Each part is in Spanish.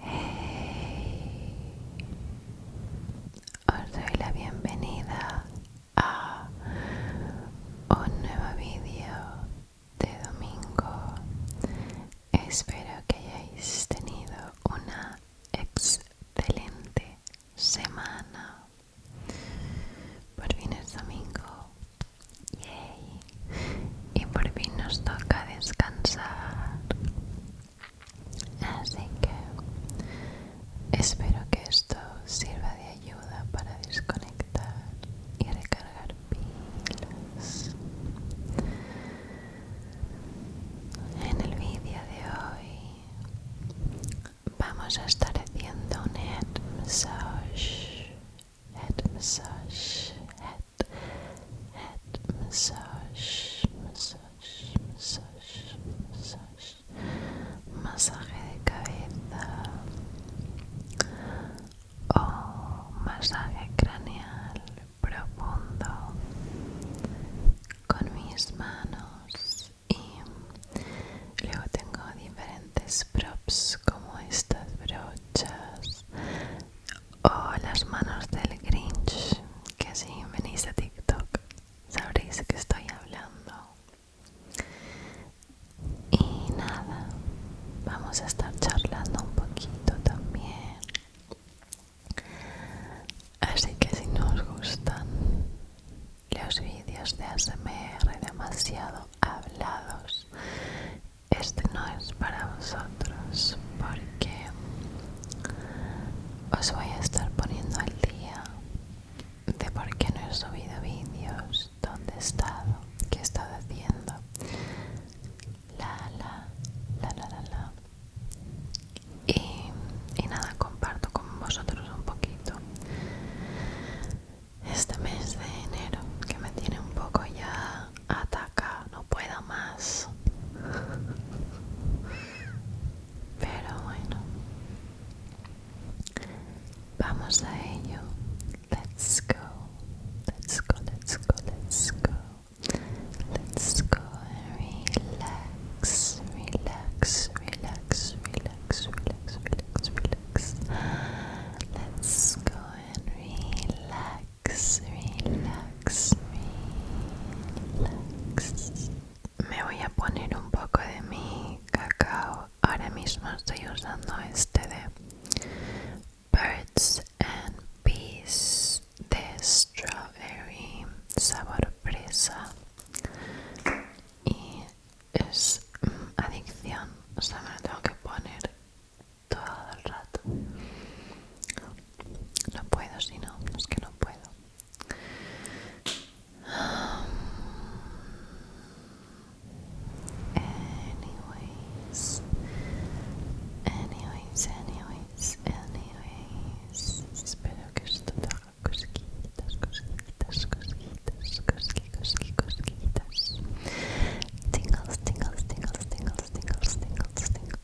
Hey. Os doy la bienvenida a un nuevo vídeo de domingo. Espero que hayáis tenido una excelente semana. Por fin es domingo. Yay y por fin nos toca descansar así que espero que esto sirva de ayuda para desconectar y recargar pilas en el vídeo de hoy vamos a estar haciendo un head massage head head head massage, massage, massage, masaje de cabeza o masaje craneal profundo con mis manos y luego tengo diferentes props como estas brochas o oh, las manos del Grinch, que si venís a TikTok sabréis que estoy hablando. Y nada, vamos a estar charlando un poquito también. Así que si nos gustan los vídeos de ASMR demasiado hablados este no es para vosotros porque os voy a estar poniendo al día de por qué no he subido vídeos, dónde he estado, qué he estado haciendo. La, la, la, la, la, la. Y, y nada, comparto con vosotros un poquito este mes de enero que me tiene un poco ya Ataca, no puedo más. Pero bueno. Vamos a ello. Let's go. Let's go, let's go, let's go. Let's go and relax, relax, relax, relax, relax, relax, relax. Let's go and relax. Me voy a poner un poco de mi cacao. Ahora mismo estoy usando este de Birds and peas de Strawberry sabor presa y es mm, adicción. O sea, me lo tengo que poner todo el rato. No puedo, si no, es que no puedo. Anyways, anyways, anyways, anyways. Espero que esto te haga cosquillitas, cosquillitas, cosquillitas, cosquillitas, cosquillitas. Tingles, tingles, tingles, tingles, tingles, tingles, tingles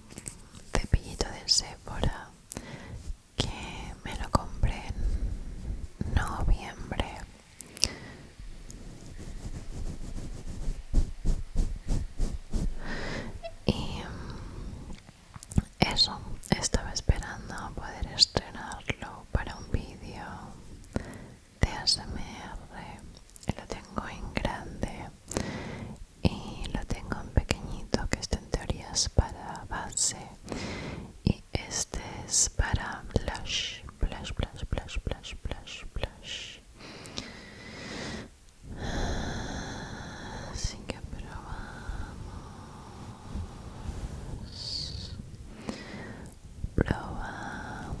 cepillito de Sephora que me lo compré en noviembre y mm, eso estaba esperando poder estrenarlo para un vídeo de ASMR lo tengo en grande y lo tengo en pequeñito que este en teoría es para base y este es para blush blush blush blush blush blush blush así que probamos probamos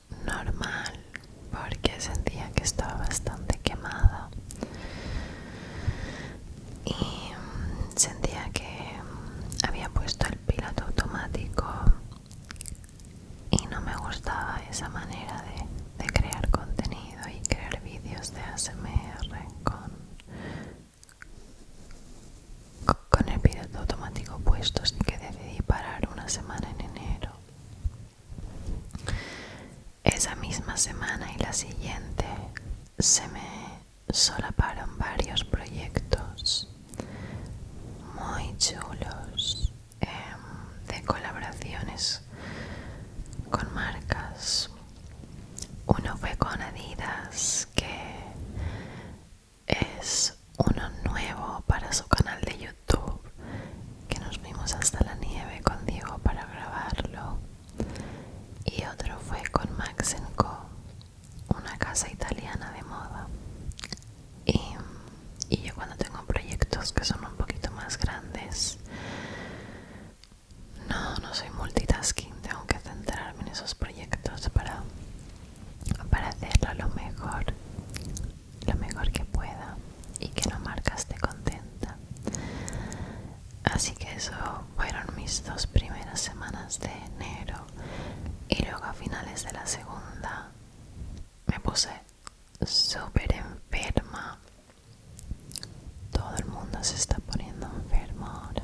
normal porque sentía que estaba bastante quemada y mm, sentía que mm, había puesto el piloto automático y no me gustaba esa manera de, crear contenido y crear vídeos de ASMR con, con el piloto automático puesto, así que decidí parar una semana en enero esa misma semana y la siguiente se me solaparon varios proyectos muy chulos em, de colaboraciones con marcas. Uno fue con Adidas que es uno nuevo para su canal de YouTube que nos vimos hasta la nieve con Diego para grabarlo y otro fue con Max Co, una casa italiana de moda y, yo cuando tengo proyectos que son un poquito más grandes no, no soy multitasking, tengo que centrarme en esos proyectos para, para a lo mejor lo mejor que pueda y que no marcaste contenta. Así que eso fueron mis dos primeras semanas de enero y luego a finales de la segunda me puse súper enferma. Todo el mundo se está poniendo enfermo ahora.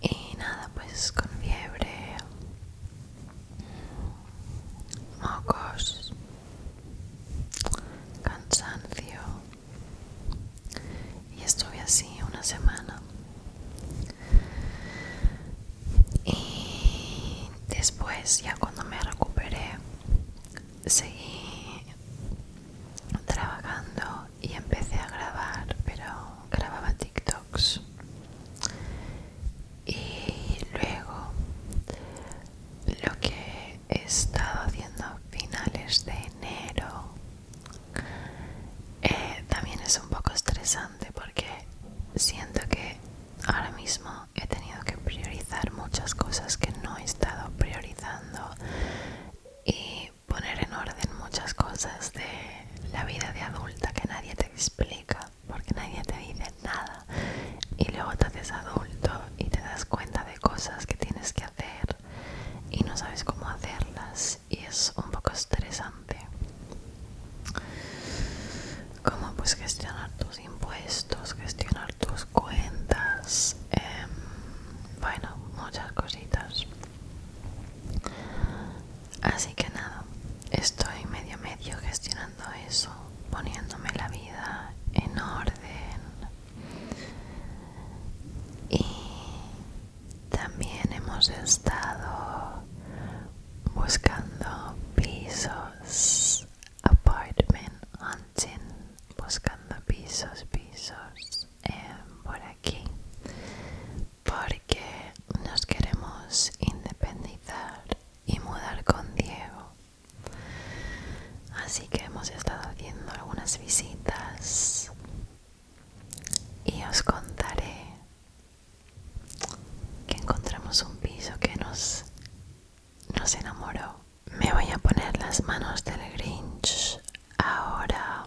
Y nada, pues con fiebre mocos, cansancio y estuve así una semana y después ya cuando me recuperé seguí trabajando y empecé a grabar pero grababa TikToks y luego lo que he estado haciendo a finales de enero eh, también es un poco estresante porque siento que ahora mismo he tenido que priorizar muchas cosas que no he estado priorizando y poner en orden muchas cosas de la vida de adulta que nadie te explica porque nadie te dice nada y luego te haces adulto y te das cuenta de cosas que tienes que hacer y no sabes cómo hacerlas y es un poco estresante como pues gestionar tus impuestos gestionar tus cuentas em, bueno muchas cositas Así que nada, estoy medio medio gestionando eso, poniéndome la vida en orden. Y también hemos estado buscando pisos, apartment hunting, buscando pisos, pisos eh, por aquí porque nos queremos independizar y mudar con Diego. Así que hemos estado haciendo algunas visitas y os contaré que encontramos un piso que nos, nos enamoró. Me voy a poner las manos del Grinch ahora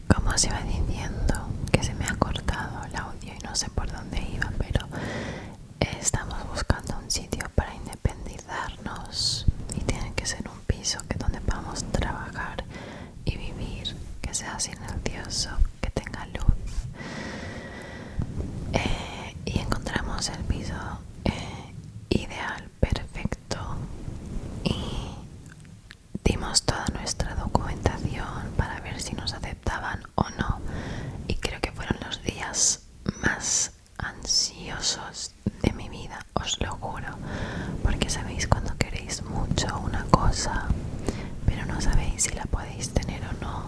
Como se va diciendo, que se me ha cortado el audio y no sé por dónde iba, pero estamos buscando un sitio para independizarnos y tiene que ser un piso que donde podamos trabajar y vivir, que sea silencioso, que tenga luz. Eh, y encontramos el piso eh, ideal, perfecto y dimos toda nuestra documentación para ver si nos aceptaban o no y creo que fueron los días más ansiosos de mi vida, os lo juro, porque sabéis cuando queréis mucho una cosa, pero no sabéis si la podéis tener o no,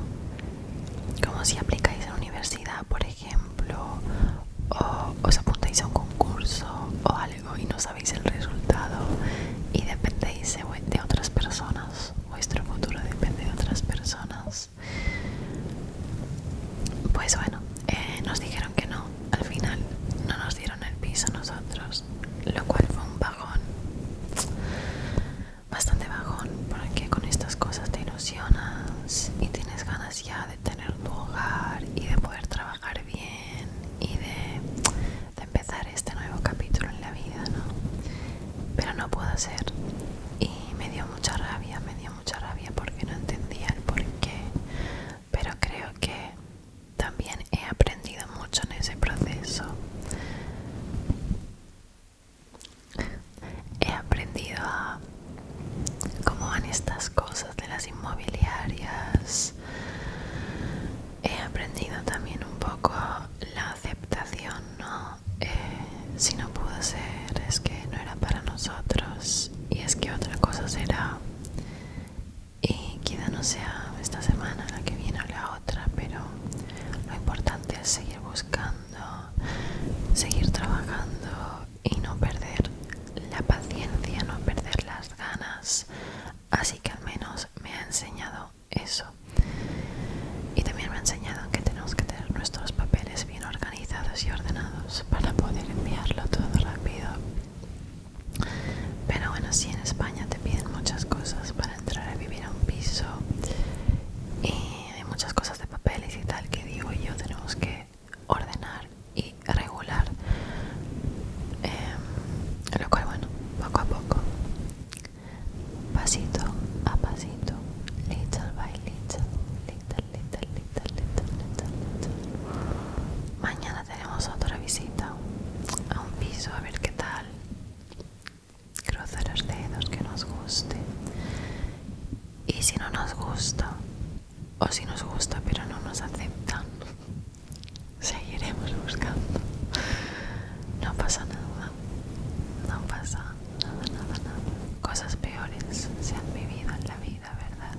como si aplicáis a la universidad, por ejemplo, o os apuntáis a un concurso o a y no sabéis el resultado y dependéis de otras personas, vuestro futuro depende de otras personas. Pues bueno, eh, nos dijeron que no, al final no nos dieron el piso a nosotros, lo cual fue un vagón, bastante vagón, porque con estas cosas te ilusionas y tienes ganas ya de tener tu hogar y de poder trabajar bien y de de empezar este nuevo capítulo en la vida, ¿no? Pero no puedo hacer Y me dio mucha rabia, me dio mucha rabia porque no entendía el porqué. Pero creo que también he aprendido mucho en ese proceso. He aprendido a cómo van estas cosas de las inmobiliarias, he aprendido también un poco la aceptación, ¿no? Eh, si no pudo ser, es que no era para nosotros y es que otra cosa será. Y quizá no sea esta semana, la que viene o la otra, pero lo importante es seguir buscando, seguir trabajando y no perder la paciencia, no perder las ganas así que al menos me ha enseñado eso y también me ha enseñado que tenemos que tener nuestros papeles bien organizados y ordenados para poder enviarlo todo rápido pero bueno si en España te piden muchas cosas para entrar a vivir a un piso y hay muchas cosas de papeles y tal que digo yo tenemos que ordenar y regular eh, lo cual bueno, poco a poco, pasito a pasito, little by little, little, little, little, little, little, little. Mañana tenemos otra visita a un piso a ver qué tal. Cruzar los dedos que nos guste. Y si no nos gusta, o si nos gusta pero no nos aceptan, seguiremos buscando. No pasa nada, no pasa nada, nada, nada. Cosas peores se han vivido en la vida, ¿verdad?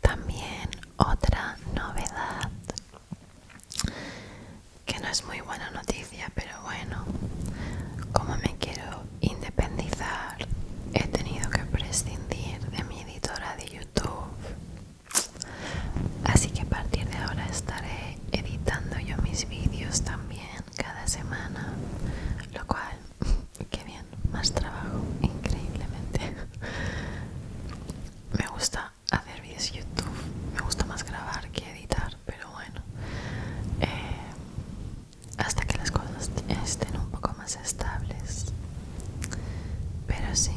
También otra novedad que no es muy buena noticia, pero bueno, como me quiero independizar, he tenido que prescindir de mi editora de YouTube. Así que a partir de ahora estaré editando yo mis vídeos también cada semana, lo cual, qué bien, más trabajo, increíblemente. Me gusta hacer vídeos YouTube, me gusta más grabar que editar, pero bueno, eh, hasta que las cosas estén un poco más estables. Pero sí.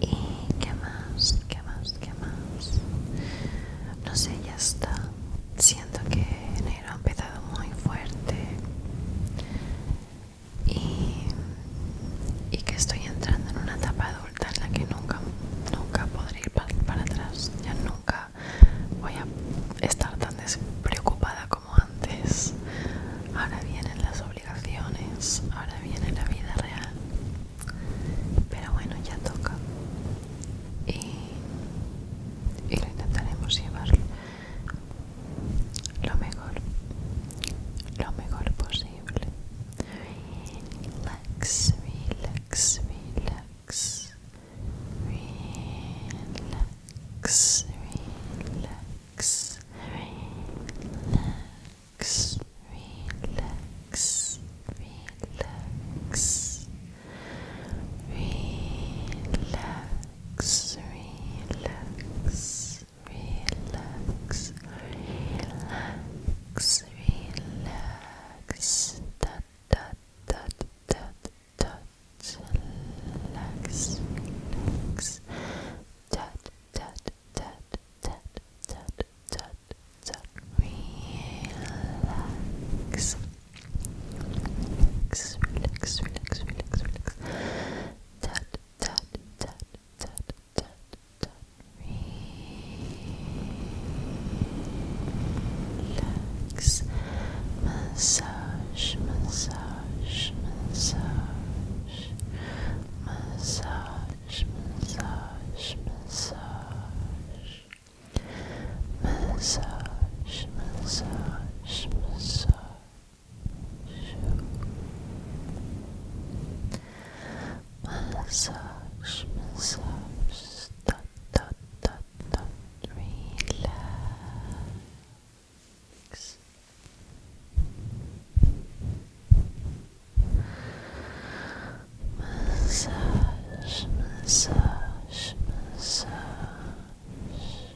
¿Y qué más? ¿Qué más? ¿Qué más? No sé, ya está. Siento que enero ha empezado muy fuerte y, que estoy entrando en una etapa adulta en la que nunca, nunca podré ir para atrás. Ya nunca voy a estar tan despreocupada como antes. Ahora vienen las obligaciones, ahora viene la vida real pero bueno ya toca y, lo intentaremos llevar lo mejor lo mejor posible relax relax relax relax, relax, relax, relax, relax, relax, relax, dot, dot, dot, dot, dot, relax, relax, dot, dot, dot, dot, dot, dot, so relax. Relax, relax, relax, relax, relax. Tut, tut, tut, tut, tut, tut. Relax. Massage, massage, massage. Massage, massage, massage massage, massage, massage. Massage, massage, dot, dot, dot, dot, relax. Massage, massage, massage.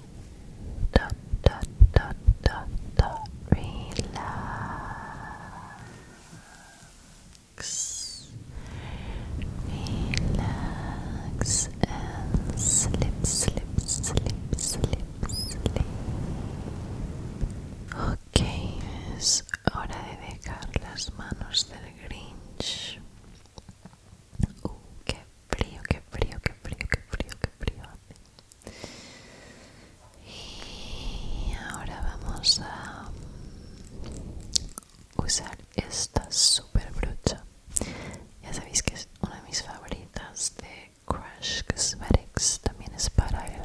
Dot, dot, dot, dot, dot. Relax. Relax and slip, slip, slip, slip, sleep. Okay. Ok, es hora de dejar las manos del Grinch. Uh, qué frío, qué frío, qué frío, qué frío, qué frío hace. Y ahora vamos a usar esta super brucha Ya sabéis que es una de mis favoritas de Crush Cosmetics. También es para el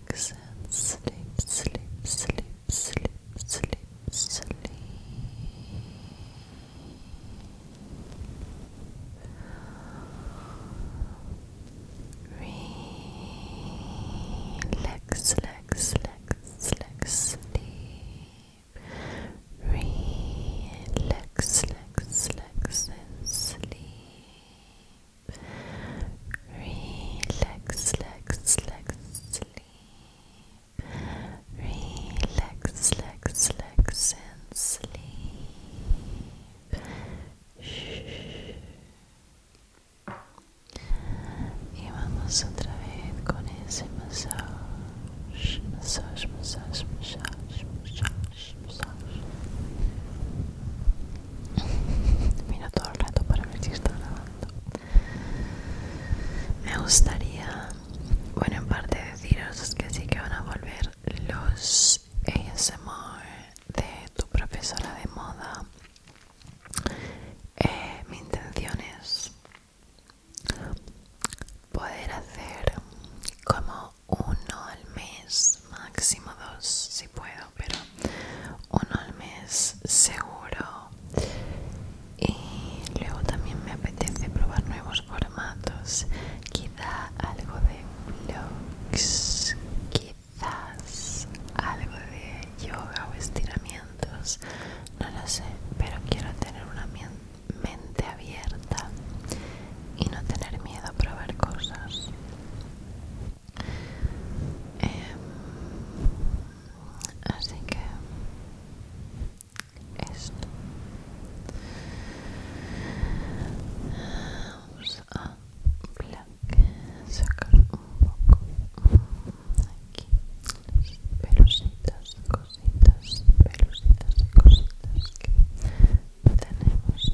relax and sleep, sleep, sleep, sleep, sleep, sleep. Relax, relax, relax, relax, sleep. Relax, relax, relax, and sleep. Relax, relax, relax, sleep. Relax, relax, relax, and sleep. Shh. Y vamos otra vez con ese massage, massage, massage, massage, massage, massage. Mira todo el rato para ver si está grabando. Me gustaría, bueno, en parte deciros que sí que van a volver los ASMR de tu profesora de moda. Eh, mi intención es poder hacer como uno al mes, máximo dos, si puedo pero uno al mes seguro. Y luego también me apetece probar nuevos formatos, quizá algo de vlogs, quizás algo de yoga o estiramientos, no lo sé, pero quiero tener una mente abierta y no tener miedo a probar cosas. Em, así que esto vamos a sacar un poco aquí las pelusitas, cositas, pelusitas y cositas que tenemos.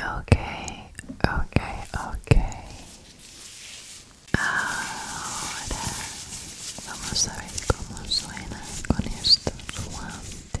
Okay, okay, okay. Ahora vamos a ver cómo suena con estos guantes.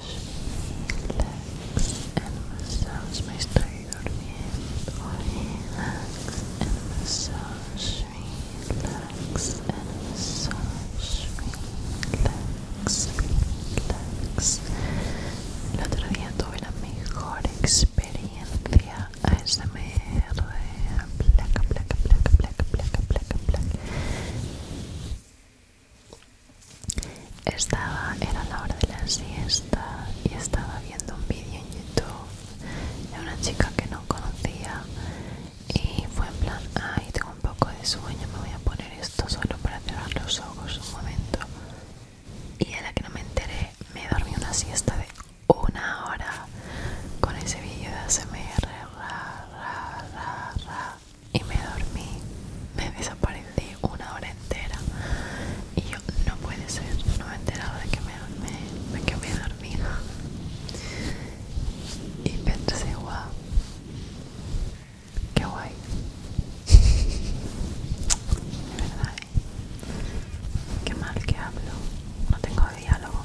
relax and massage mas estoy durmiendo relax and massage relax and massage relax relax el otro tuve la mejor experiencia ASMR placa placa placa placa placa placa placa Estaba, era la hora de la siesta y estaba viendo un vídeo en YouTube de una chica que no conocía y fue en plan, ay, tengo un poco de sueño, me voy a poner esto solo para cerrar los ojos un momento. Y a la que no me enteré, me dormí una siesta de una hora con ese vídeo de ASMR, y me dormí, me desaparecí una hora entera y yo no puede ser, no me he enterado de que me, dormí, que me he dormido y pensé, guau, qué guay, de verdad, ¿eh? qué mal que hablo, no tengo diálogo.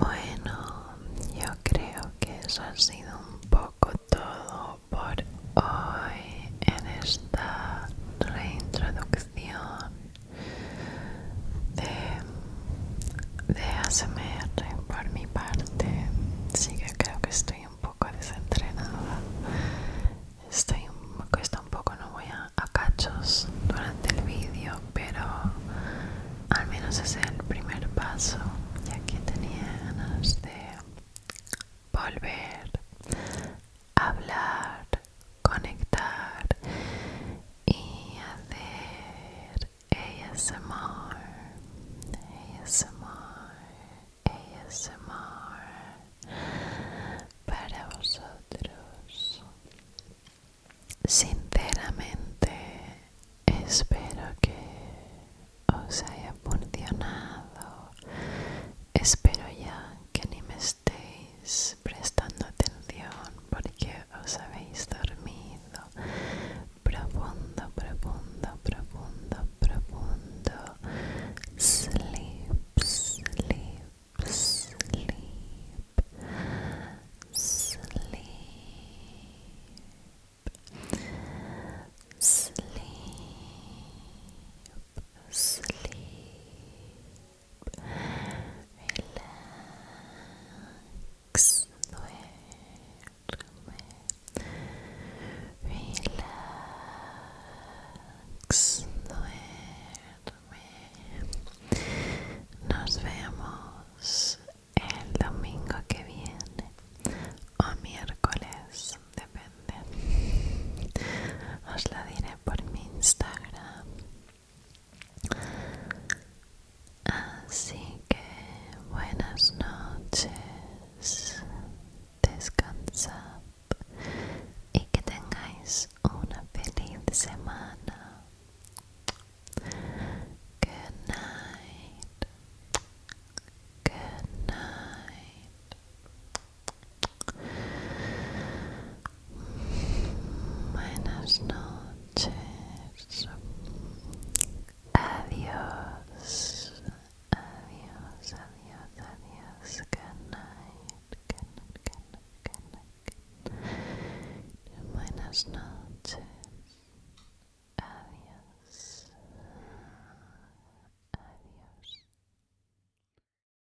Bueno, yo creo que eso ha sido un poco todo por hoy en esta reintroducción de, de por mi parte sí que creo que estoy un poco desentrenada estoy cuesta un poco no voy a, cachos durante el vídeo pero al menos ese es el primer paso ya que tenía ganas de volver hablar, conectar y hacer ASMR, ASMR, ASMR para vosotros. Sinceramente, espero que os haya funcionado. Espero ya que ni me estéis prestando atención porque os habéis dormido profundo, profundo, profundo, profundo. Sleep, sleep, sleep, sleep, sleep. Sleep, relax, duerme, relax, duerme. Nos vemos el domingo que viene o miércoles, depende. Os lo diré por mi Instagram. Así que buenas noches, descansad y que tengáis una feliz semana. Good night. Good night. Buenas noches. Adiós. Adiós, adiós, adiós. Good night. Good night, good night, good night. Good night. Buenas noches. Adiós. Adiós.